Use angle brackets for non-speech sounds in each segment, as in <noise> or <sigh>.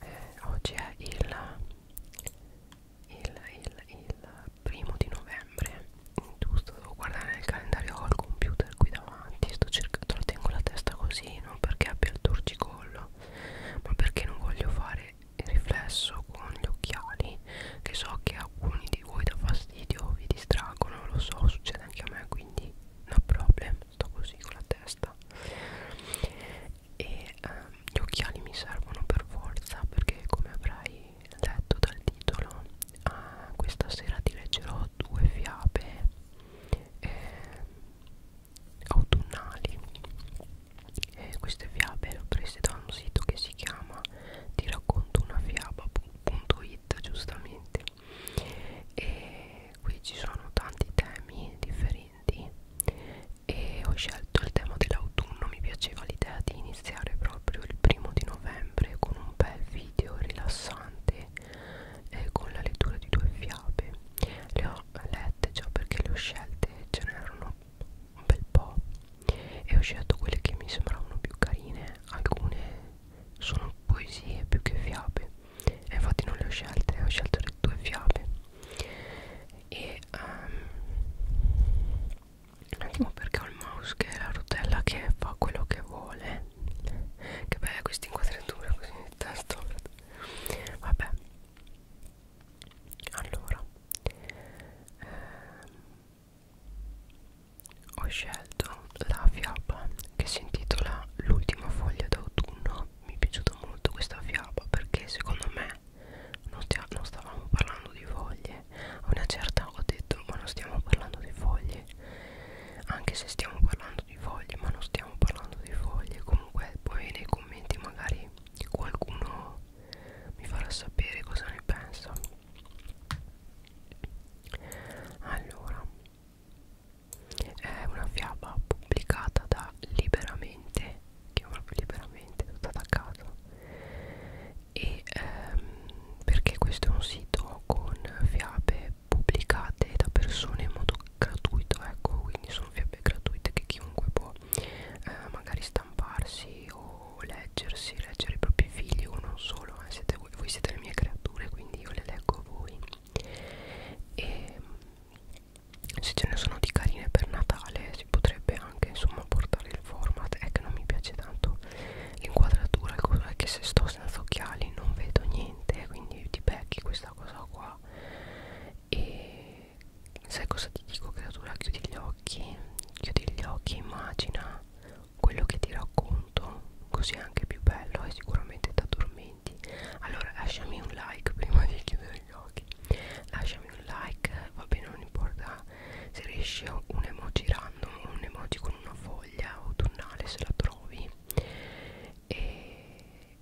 eh, oggi è il, il, il, il primo di novembre giusto devo guardare nel calendario ho il computer qui davanti sto cercando lo tengo la testa così non perché abbia il torcicollo ma perché non voglio fare il riflesso con gli occhiali che so che alcuni di voi da fastidio vi distraggono lo so succede anche a me quindi no problem sto così con la testa e ehm, gli occhiali mi servono per forza perché come avrai letto dal titolo eh, questa sera ti leggerò due fiabe eh, autunnali eh, queste fiabe le ho prese da un sito che si chiama ti racconto una fiaba.it giustamente e qui ci sono tanti temi differenti e ho scelto il tema dell'autunno mi piaceva l'idea di iniziare proprio il primo di novembre con un bel video rilassante eh, con la lettura di due fiabe le ho lette già perché le ho scelte ce n'erano un bel po' e ho scelto quelle che mi sembravano più carine alcune sono poesie più che fiabe e infatti non le ho scelte ho scelto le due fiabe e um, un attimo perché ho il mouse che è la rotella che fa quello che vuole che bella questa inquadratura così nel testo vabbè allora ehm, ho scelto la fiaba che si intitola L'ultima foglia d'autunno. Mi è piaciuta molto questa fiaba perché secondo me non, stia, non stavamo parlando di foglie. A una certa ho detto ma non stiamo parlando di foglie. Anche se stiamo parlando di foglie, ma non stiamo parlando di foglie. Comunque poi nei commenti magari qualcuno mi farà sapere cosa ne pensa. Allora, è una fiaba pubblicata da Liberamente che è proprio Liberamente tutto attaccato e ehm, perché questo è un sito con fiabe pubblicate da persone in modo gratuito ecco quindi sono fiabe gratuite che chiunque può eh, magari stamparsi o leggersi leggere i propri figli o non solo eh, siete voi, voi siete le mie creature letture quindi io le leggo a voi e se ce ne sono di carine per Natale si potrebbe anche insomma portare il format è che non mi piace tanto l'inquadratura il coso è che se sto senza occhiali non vedo niente quindi ti becchi questa cosa qua e sai cosa ti dico creatura chiudi gli occhi chiudi gli occhi immagina quello che ti racconto così è anche più bello e sicuramente ti addormenti allora lasciami un like prima di chiudere gli occhi lasciami un like va bene non importa se riesci un emoji random un emoji con una foglia autunnale se la trovi e,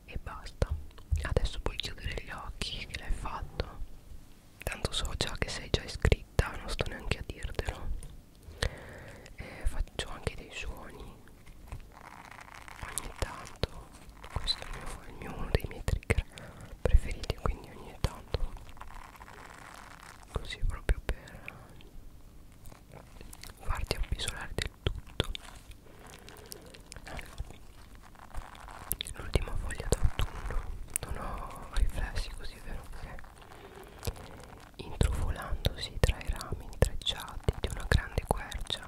e basta adesso puoi chiudere gli occhi che l'hai fatto tanto so già che sei già iscritta non sto neanche a dirtelo eh, faccio anche dei suoni ogni tanto questo è, il mio, è il mio, uno dei miei trigger preferiti quindi ogni tanto così proprio per farti appisolare del tutto l'ultima foglia d'autunno non ho riflessi così vero che intrufolandosi tra i rami intrecciati di una grande quercia,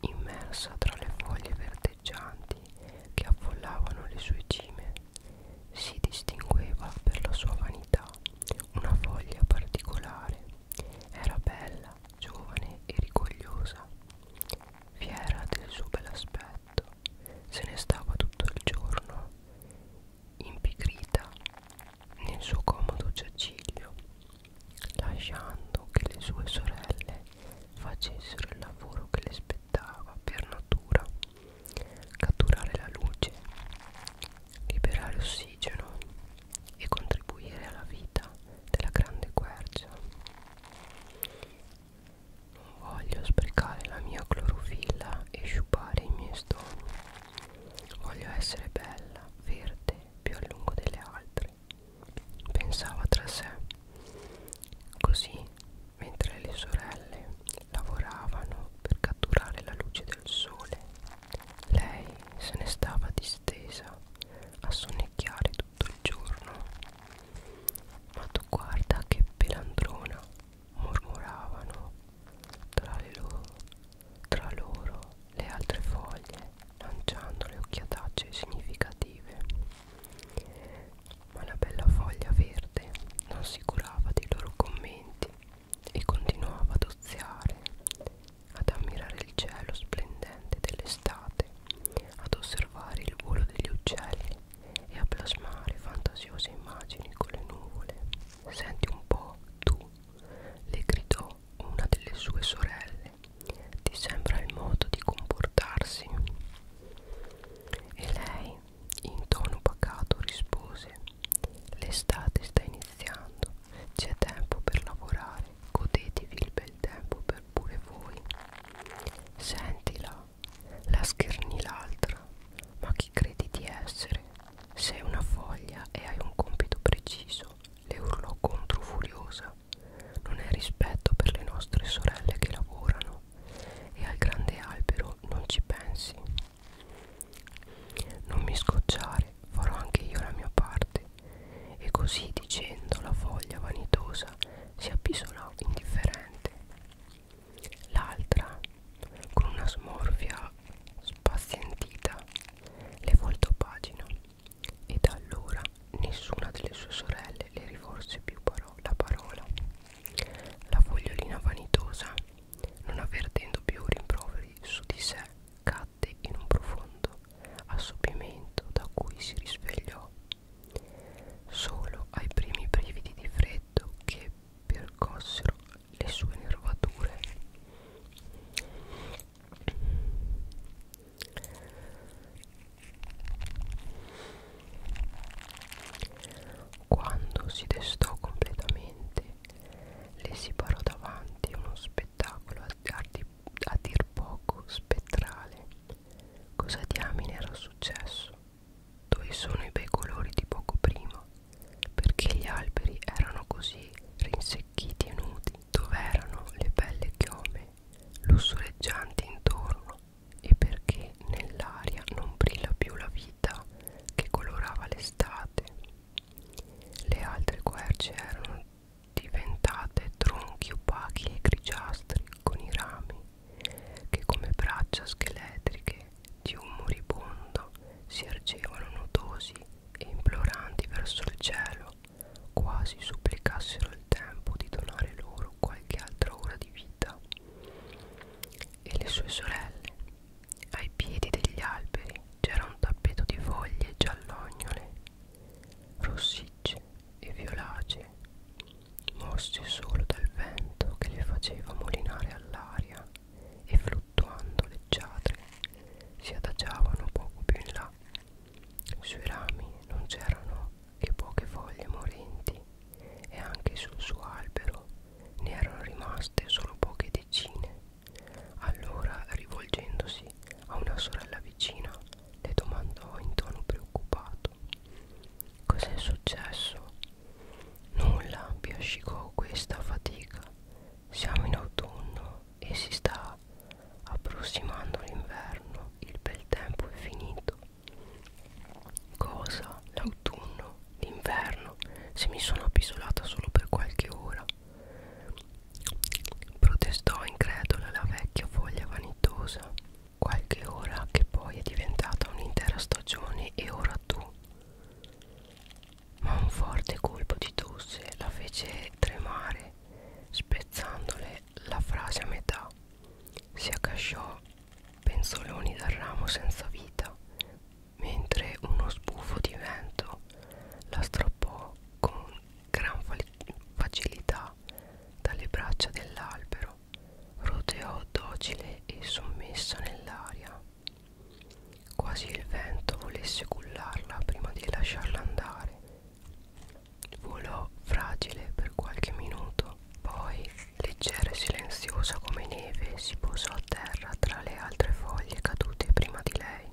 immersa tra le foglie verdeggianti che affollavano le sue cime, si distingueva per la sua vanità una foglia particolare. Era bella, giovane e rigogliosa. Fiera del suo bell'aspetto, se ne stava tutto il giorno impigrita nel suo comodo giaciglio, lasciando che le sue sorelle facessero il lavoro che le spettava per natura, catturare la luce, liberare ossigeno e contribuire alla vita della grande quercia. Non voglio sprecare la mia clorofilla e sciupare i miei stoni. Voglio essere bella, verde, più a lungo delle altre. Pensava tra sé. Così, mentre le sorelle lavoravano per catturare la luce del sole, lei se ne stava distesa a sonnecchiare tutto il giorno. Ma tu guarda che pelandrona, murmuravano tra, le loro, tra loro le altre foglie lanciando le occhiatacce significative ma la bella foglia verde non si curava dei loro commenti e continuava ad oziare ad ammirare il cielo splendente dell'estate ad osservare il volo degli uccelli e a plasmare fantasiose immagini con le nuvole Senti un po' tu, le gridò una delle sue sorelle. Ti sembra il modo di comportarsi? E lei, in tono pacato, rispose: L'estate sta iniziando, c'è tempo per lavorare, godetevi il bel tempo per pure voi. Sentila, la scherni l'altra. Ma chi credi di essere? Sei una foglia e hai un compito preciso, le urlò contro furiosa. Non è rispetto per le nostre sorelle che lavorano e al grande albero non ci pensi. Non mi scocciare, farò anche io la mia parte. E così dicendo la foglia vanitosa si appisolò indifferente. L'altra, con una smorfia spazientita, le voltò pagina e da allora nessuna delle sue sorelle le rivolse più paro la parola. La fogliolina vanitosa, non avvertendo più rimproveri su di sé, cadde in un profondo assopimento da cui si risvegliò. Solo ai primi brividi di freddo che percossero le sue nervature quando si destò completamente le si parò davanti uno spettacolo a, a, a dir poco spettrale cosa diamine era successo dove sono i bei colori di poco prima perché gli alberi erano così rinsecchiti e nudi dove erano le belle chiome lussureggianti intorno e perché nell'aria non brilla più la vita che colorava l'estate le altre querce erano diventate tronchi opachi e grigiastri con i rami che come braccia scheletriche di un moribondo si ergevano notosi e imploranti verso il cielo, quasi supplicassero il tempo di donare loro qualche altra ora di vita. E le sue sorelle, ai piedi degli alberi, c'era un tappeto di foglie giallognole, rossicce e violacee mossi solo dal vento che le faceva molinare all'aria e fluttuando leggiadre si adagiavano poco più in là. Sui rami non c'erano che poche foglie morenti e anche sul suo albero ne erano rimaste solo poche decine. Allora, rivolgendosi a una sorella vicina, le domandò in tono preoccupato Cos'è successo? Nulla, biascicò questa fatica. Siamo in autunno e si sta approssimando l'inverno. Il bel tempo è finito. Cosa? L'autunno? L'inverno? Se mi sono appisolata solo per qualche ora. Protestò incredula la vecchia foglia vanitosa qualche ora che poi è diventata un'intera stagione e ora tu. Ma un forte colpo di tosse la fece tremare, spezzandole la frase a metà. Si accasciò penzoloni dal ramo senza vita, mentre uno sbuffo di vento la strappò con gran facilità dalle braccia dell'albero ginocchio roteò docile e sommessa nell'aria quasi il vento volesse cullarla prima di lasciarla andare volò fragile per qualche minuto poi leggera e silenziosa come neve si posò a terra tra le altre foglie cadute prima di lei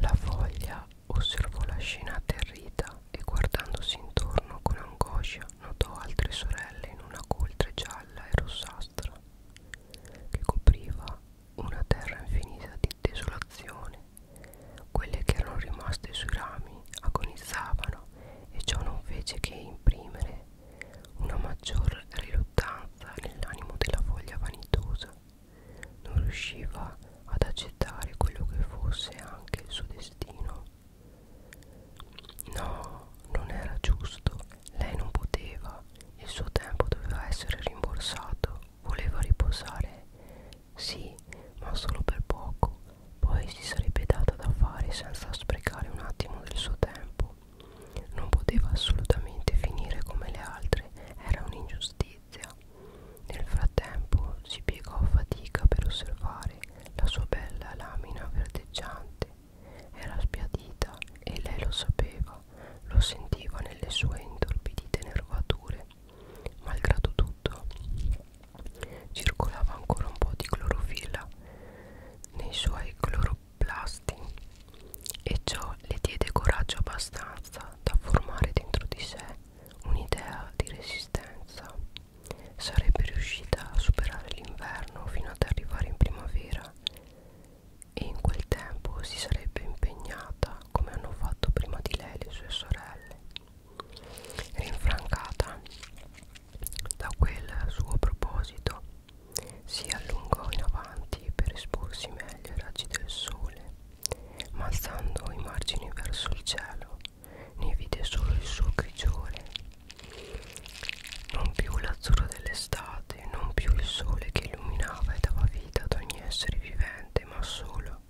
la foglia osservò la scena atterrita e guardandosi intorno con angoscia notò altre sorelle in una coltre gialla e rossastra che copriva una terra infinita di desolazione. Quelle che erano rimaste sui rami agonizzavano e ciò non fece che imprimere una maggior riluttanza nell'animo della foglia vanitosa non riusciva ad accettare quello che fosse anche il suo destino. No, non era giusto, lei non poteva, il suo tempo doveva essere rimborsato, voleva riposare, sì, ma solo per poco, poi si sarebbe data da fare senza sprecare un attimo del suo tempo. Non poteva assolutamente finire come le altre, era un'ingiustizia. Letizia. Nel frattempo si piegò a fatica per osservare la sua bella lamina verdeggiante. Era sbiadita e lei lo sapeva, lo sentiva nelle sue intorpidite nervature. Malgrado tutto, circolava ancora un po' di clorofilla nei suoi cloroplasti e ciò le diede coraggio abbastanza da formare dentro di sé un'idea di resistenza. Sarebbe riuscita a superare l'inverno fino ad arrivare in primavera e in quel tempo si sarebbe impegnata come hanno fatto prima di lei le sue sorelle. Rinfrancata da quel suo proposito, si allungò in avanti per esporsi meglio meglio i raggi del sole, ma alzando i margini verso il cielo, ne vide solo il suo grigiore. Non più l'azzurro dell'estate, non più il sole che illuminava e dava vita ad ogni essere vivente, ma solo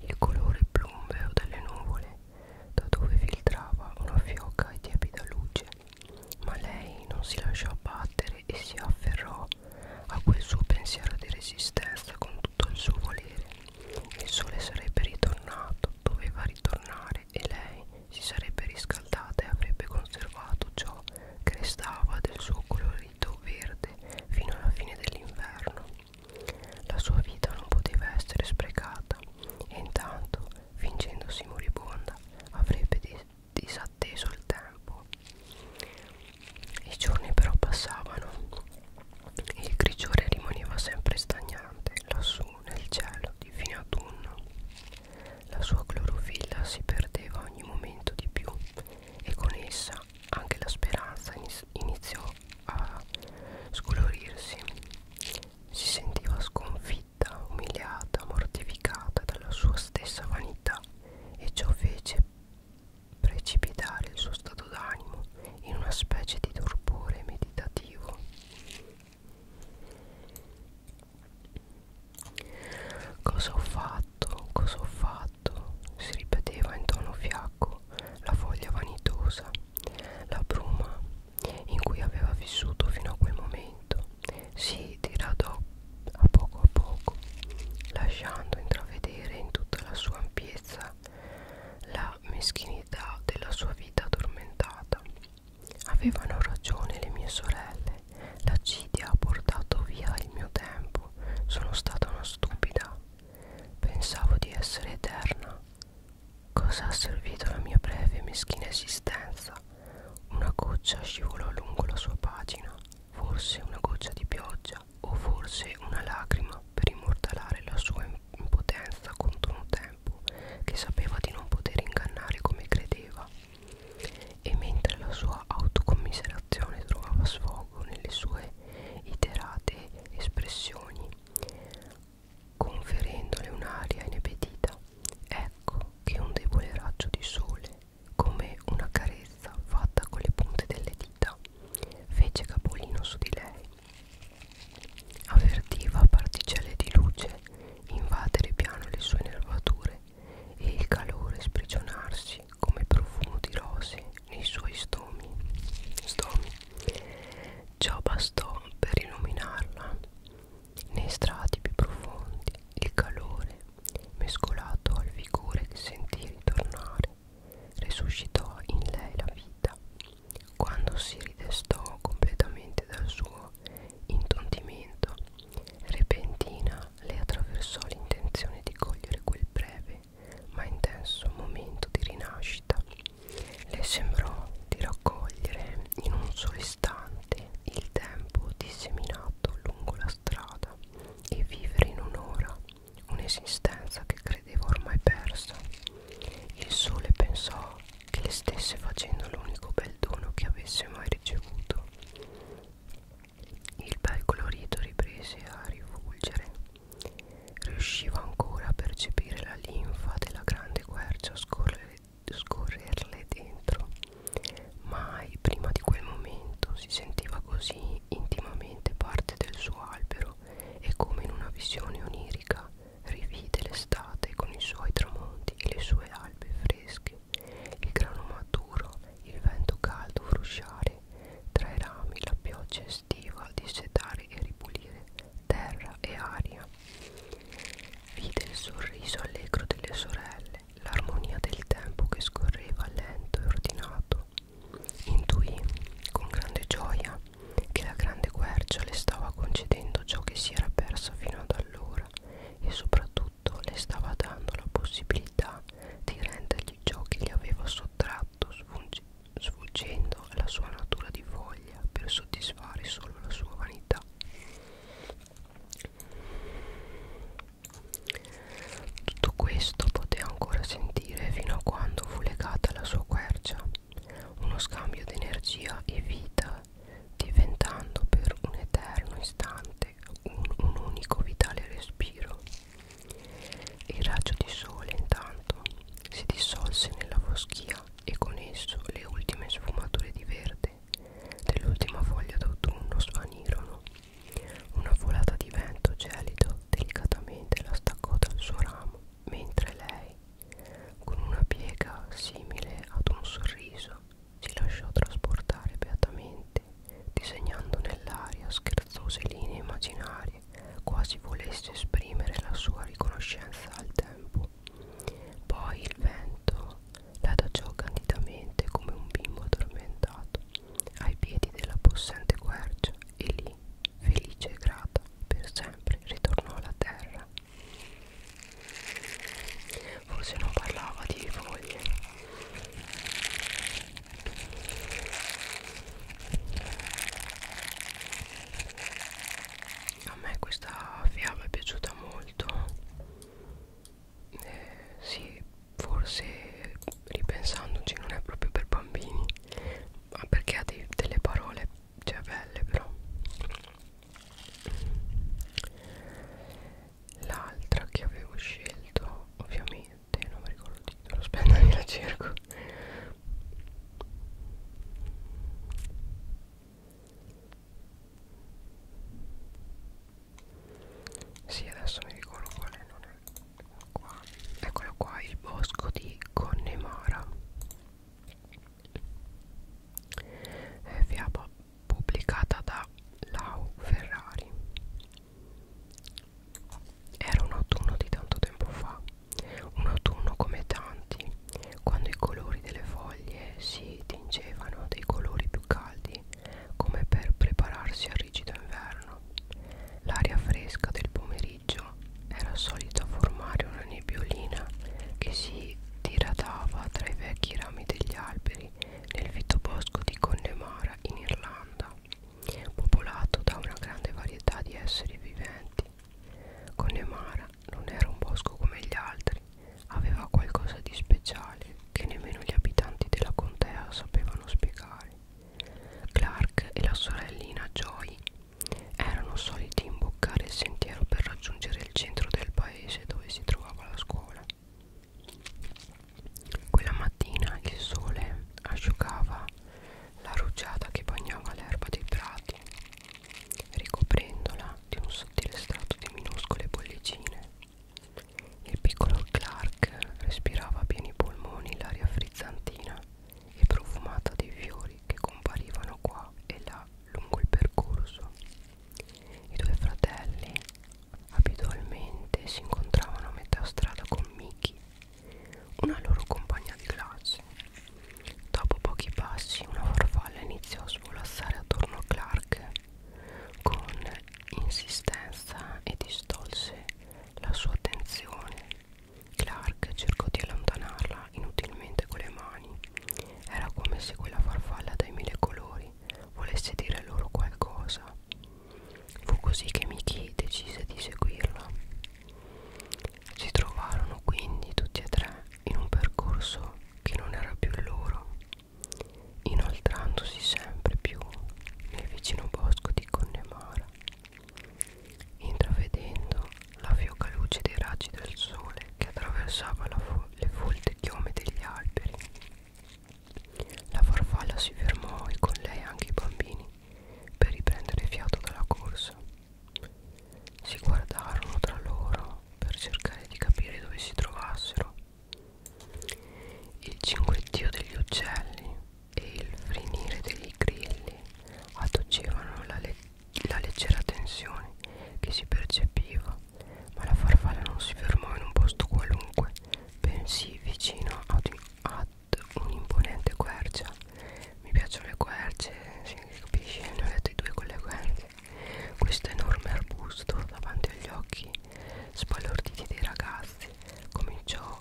il colore plumbeo delle nuvole, da dove filtrava una fioca e tiepida luce. Ma lei non si lasciò battere e si afferrò a quel suo pensiero di resistenza con tutto il suo volere. Il sole sarebbe ritornato, doveva ritornare e lei si sarebbe riscaldata e avrebbe conservato ciò che restava del suo colorito verde fino alla fine dell'inverno. La sua vita non poteva essere sprecata e intanto, fingendosi moribonda, avrebbe disatteso il tempo i giorni però passavano e il grigiore rimaneva sempre stagnante lassù nel cielo di fine autunno la sua clorofilla si perdeva ogni momento di più e con essa anche la speranza iniziò a scolorirsi si sentiva sconfitta umiliata mortificata dalla sua stessa vanità e ciò fece precipitare il suo stato d'animo in una specie di torpore meditativo. Cosa ho fatto? Cosa ho fatto? si ripeteva in tono fiacco la foglia vanitosa, la bruma in cui aveva vissuto fino a quel momento movimento si diradò a poco a poco, lasciando intravedere in tutta la sua ampiezza la meschinità della sua vita addormentata. Avevano ragione le mie sorelle, l'accidia ha portato via il mio tempo, sono stata una stupida, pensavo di essere eterna. Cosa ha servito la mia breve e meschina esistenza? Una goccia scivolò lungo la sua pagina forse una goccia di pioggia o forse una lacrima per immortalare la sua impotenza contro un tempo che sapeva di non poter ingannare come credeva e mentre la sua autocommiserazione trovava sfogo nelle sue iterate espressioni conferendole un'aria inepetita ecco che un debole raggio di sole come una carezza fatta con le punte delle dita fece capolino su di lei avvertiva particelle di luce invadere piano le sue nervature e il calore sprigionarsi come profumo di rose nei suoi stomi, stomi. ciò bastò per illuminarla nei strati più profondi il calore mescolato al vigore che sentì ritornare resuscitò in lei la vita quando si ridestò completamente dal suo intontimento repentina le attraversò l'intenzione di cogliere quel breve ma intenso momento di rinascita le sembrò di raccogliere in un solo istante durante il tempo disseminato lungo la strada e vivere in un'ora un'esistenza che credevo ormai persa. Il sole pensò che le stesse facendo l'unico bel dono che avesse mai ricevuto. Il bel colorito riprese a rifulgere. Riusciva ancora a percepire la linfa della grande quercia scorrere scorrerle dentro. Mai prima di quel momento si sentiva così intimamente parte del suo albero e come in una visione onirica rivide l'estate con i suoi tramonti e le sue albe fresche, il grano maturo, il vento caldo frusciare, tra i rami la pioggia estiva dissetare e ripulire terra e aria. Vide il sorriso allegro delle sorelle l'armonia del tempo che scorreva lento e ordinato. Intuì con grande gioia che la grande quercia le stava concedendo ciò che si era persa fino ad allora e soprattutto le stava dando la possibilità di rendergli ciò che gli aveva sottratto sfuggendo alla sua natura di voglia per soddisfare solo la sua vanità. Tutto questo poté ancora sentire fino a quando fu legata alla sua quercia, uno scambio di energia e vita, diventando per un eterno istante un, un unico vitale respiro. Il raggio di sole intanto si dissolse nella foschia e con esso le ultime sfumature di verde verde dell'ultima foglia d'autunno svanirono. Una volata di vento gelido delicatamente la staccò dal suo ramo, mentre lei, con una piega simile ad un sorriso, si lasciò trasportare beatamente, disegnando nell'aria scherzose linee immaginarie, quasi volesse esprimere la sua riconoscenza al tempo. Poi il vento l'adaggiò candidamente come un bimbo addormentato ai piedi della possente quercia e lì, felice e grata, per sempre ritornò alla terra. Forse non parlava di foglie. A me questa fiaba è piaciuta molto eh, sì forse ripensandoci non è proprio per bambini ma perché ha dei, delle parole cioè belle però l'altra che avevo scelto ovviamente non mi ricordo il titolo aspetta <laughs> la cerco sì, adesso mi ricordo quale non è qua. Eccolo qua, il bosco di Connemara. È fiaba pubblicata da Lau Ferrari. Era un autunno di tanto tempo fa, un autunno come tanti, quando i colori delle foglie si tingevano dei colori più caldi come per prepararsi al rigido inverno. L'aria fresca del pomeriggio era solita formare una nebbiolina che si diradava tra i vecchi rami degli alberi nel fittobosco di Connemara in Irlanda, popolato da una grande varietà di esseri viventi. Connemara non era un bosco come gli altri, aveva qualcosa di speciale che nemmeno gli abitanti della contea sapevano spiegare. Clark e la sorellina Joy erano soliti imboccare il sentiero per raggiungere il centro del paese dove si trovava la scuola. Quella mattina il sole asciugava la rugiada che bagnava l'erba dei prati ricoprendola di un sottile strato di minuscole bollicine. Il piccolo Clark respirava a pieni polmoni l'aria frizzantina e profumata dei fiori che comparivano qua e là lungo il percorso. I due fratelli abitualmente si incontravano a metà strada con Mickey, una loro compagna di classe Dopo pochi passi una farfalla iniziò a svolazzare attorno a Clark con insistenza e distolse la sua attenzione. Clark cercò di allontanarla inutilmente con le mani. Era come se quella farfalla dai mille colori volesse dire loro qualcosa. Fu così che Mickey decise di seguirla. Si trovarono quindi tutti e tre in un percorso che non era più il loro, inoltrandosi sempre più nel vicino bosco di Connemara, intravedendo la fioca luce dei raggi del sole che attraversava fo le folte chiome degli alberi. La farfalla si fermò e con lei anche i bambini per riprendere fiato dalla corsa. Si guardarono tra loro per cercare di capire dove si trovassero. Il cinguettio degli uccelli e il frinire degli grilli adducevano la, le la leggera tensione che si percepiva, ma la farfalla non si fermò in un posto qualunque, bensì vicino ad, ad un'imponente quercia mi piacciono le querce si capisce ne ho lette due con le querce questo enorme arbusto davanti agli occhi spalorditi dei ragazzi cominciò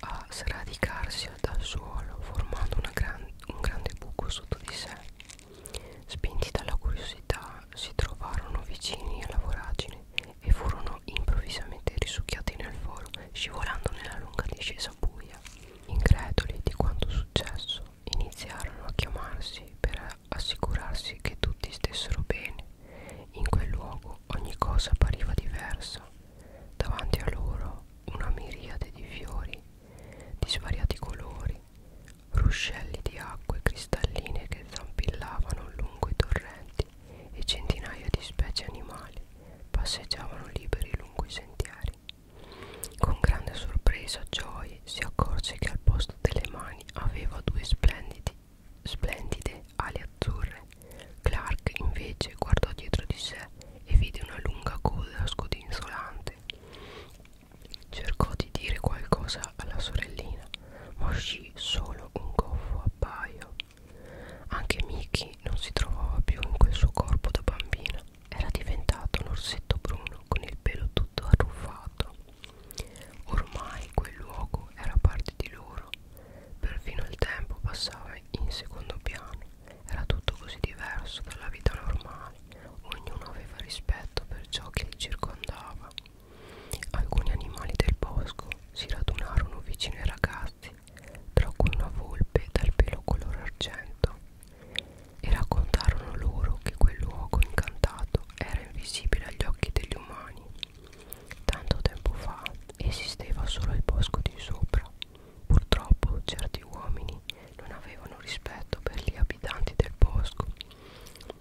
a sradicarsi dal suolo formando una gran, un grande buco sotto di sé spinti dalla curiosità si trovarono vicini alla voragine e furono improvvisamente risucchiati nel foro scivolando nella lunga discesa faccia buia. Increduli di quanto successo, iniziarono a chiamarsi per assicurarsi che tutti stessero bene. In quel luogo ogni cosa appariva diversa. Davanti a loro una miriade di fiori di svariati colori, ruscelli di acque cristalline che zampillavano lungo i torrenti e centinaia di specie animali passeggiavano liberi lungo i sentieri. Con grande sorpresa Joy si accorse che al posto delle mani aveva due splendidi, splendide ali azzurre. Clark invece guardò dietro di sé e vide una lunga coda scodinzolante. Cercò di dire qualcosa alla sorellina, ma uscì solo un goffo appaio. Anche Mickey non si trovava più in quel suo corpo da bambina era diventato un orsetto bruno con il pelo tutto arruffato. Ormai quel luogo era parte di loro. Perfino il tempo passava in secondo piano. Era tutto così diverso dalla vita normale. Ognuno aveva rispetto per ciò che li circondava. Alcuni animali del bosco si radunarono vicino ai ragazzi animalifici, tra cui una volpe dal pelo color argento, e raccontarono loro che quel luogo incantato era invisibile agli occhi degli umani. Tanto tempo fa esisteva solo il bosco di sopra. Purtroppo certi uomini non avevano rispetto per gli abitanti del bosco.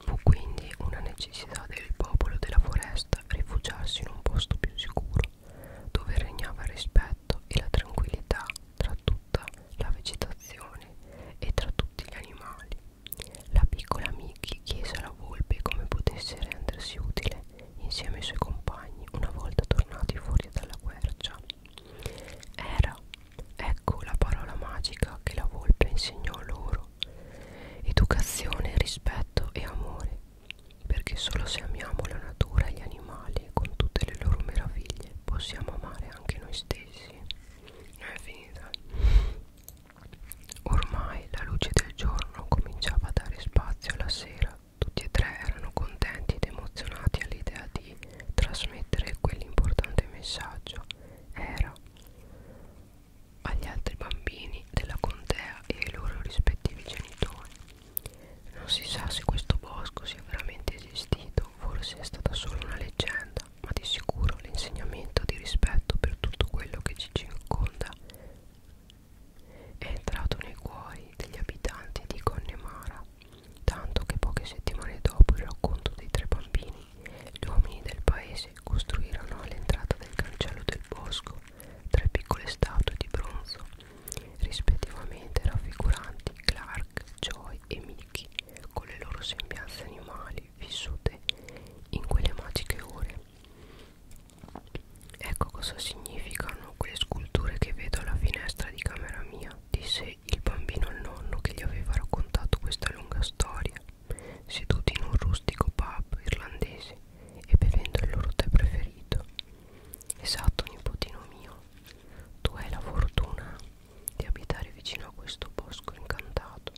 Fu quindi una necessità del popolo della foresta rifugiarsi in un posto più sicuro dove regnava il rispetto e la tranquillità tra tutta la vegetazione e tra tutti gli animali. La piccola Mickey chiese alla volpe come potesse rendersi utile insieme ai suoi compagni una volta tornati fuori dalla quercia. Era, ecco la parola magica che la volpe insegnò loro. Educazione, rispetto e amore perché solo se amiamo la natura e gli animali con tutte le loro meraviglie possiamo amare anche noi stessi. È finita. Ormai la luce del giorno cominciava a dare spazio alla sera. Tutti e tre erano contenti ed emozionati all'idea di trasmettere quell'importante messaggio. Era agli altri bambini della contea e ai loro rispettivi genitori. Non si sa se questo bosco sia veramente esistito, forse è stata solo una leggenda, ma di sicuro l'insegnamento di rispetto per tutto quello che ci circonda è entrato nei cuori degli abitanti di Connemara, tanto che poche settimane dopo il racconto dei tre bambini, gli uomini del paese costruirono all'entrata del cancello del bosco tre piccole statue di bronzo, rispettivamente raffiguranti Clark, Joy e Mickey, con le loro sembianze animali vissute in quelle magiche ore. Ecco cosa significano quelle sculture che vedo alla finestra di camera mia, disse il bambino al nonno che gli aveva raccontato questa lunga storia, seduti in un rustico pub irlandese e bevendo il loro tè preferito. Esatto, nipotino mio, tu hai la fortuna di abitare vicino a questo bosco incantato.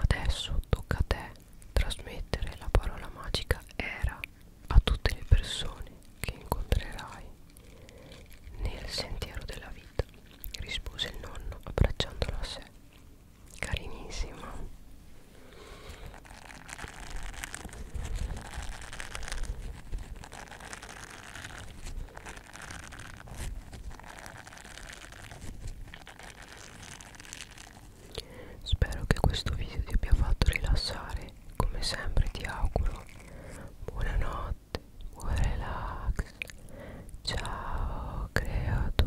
Adesso tocca a te trasmettere la parola magica era a tutte le persone che incontrerai nel sentiero della vita, rispose il nonno abbracciandola a sé. Carinissima. Spero che questo video ti abbia fatto rilassare, come sempre ti auguro buonanotte, buon relax, ciao creatura.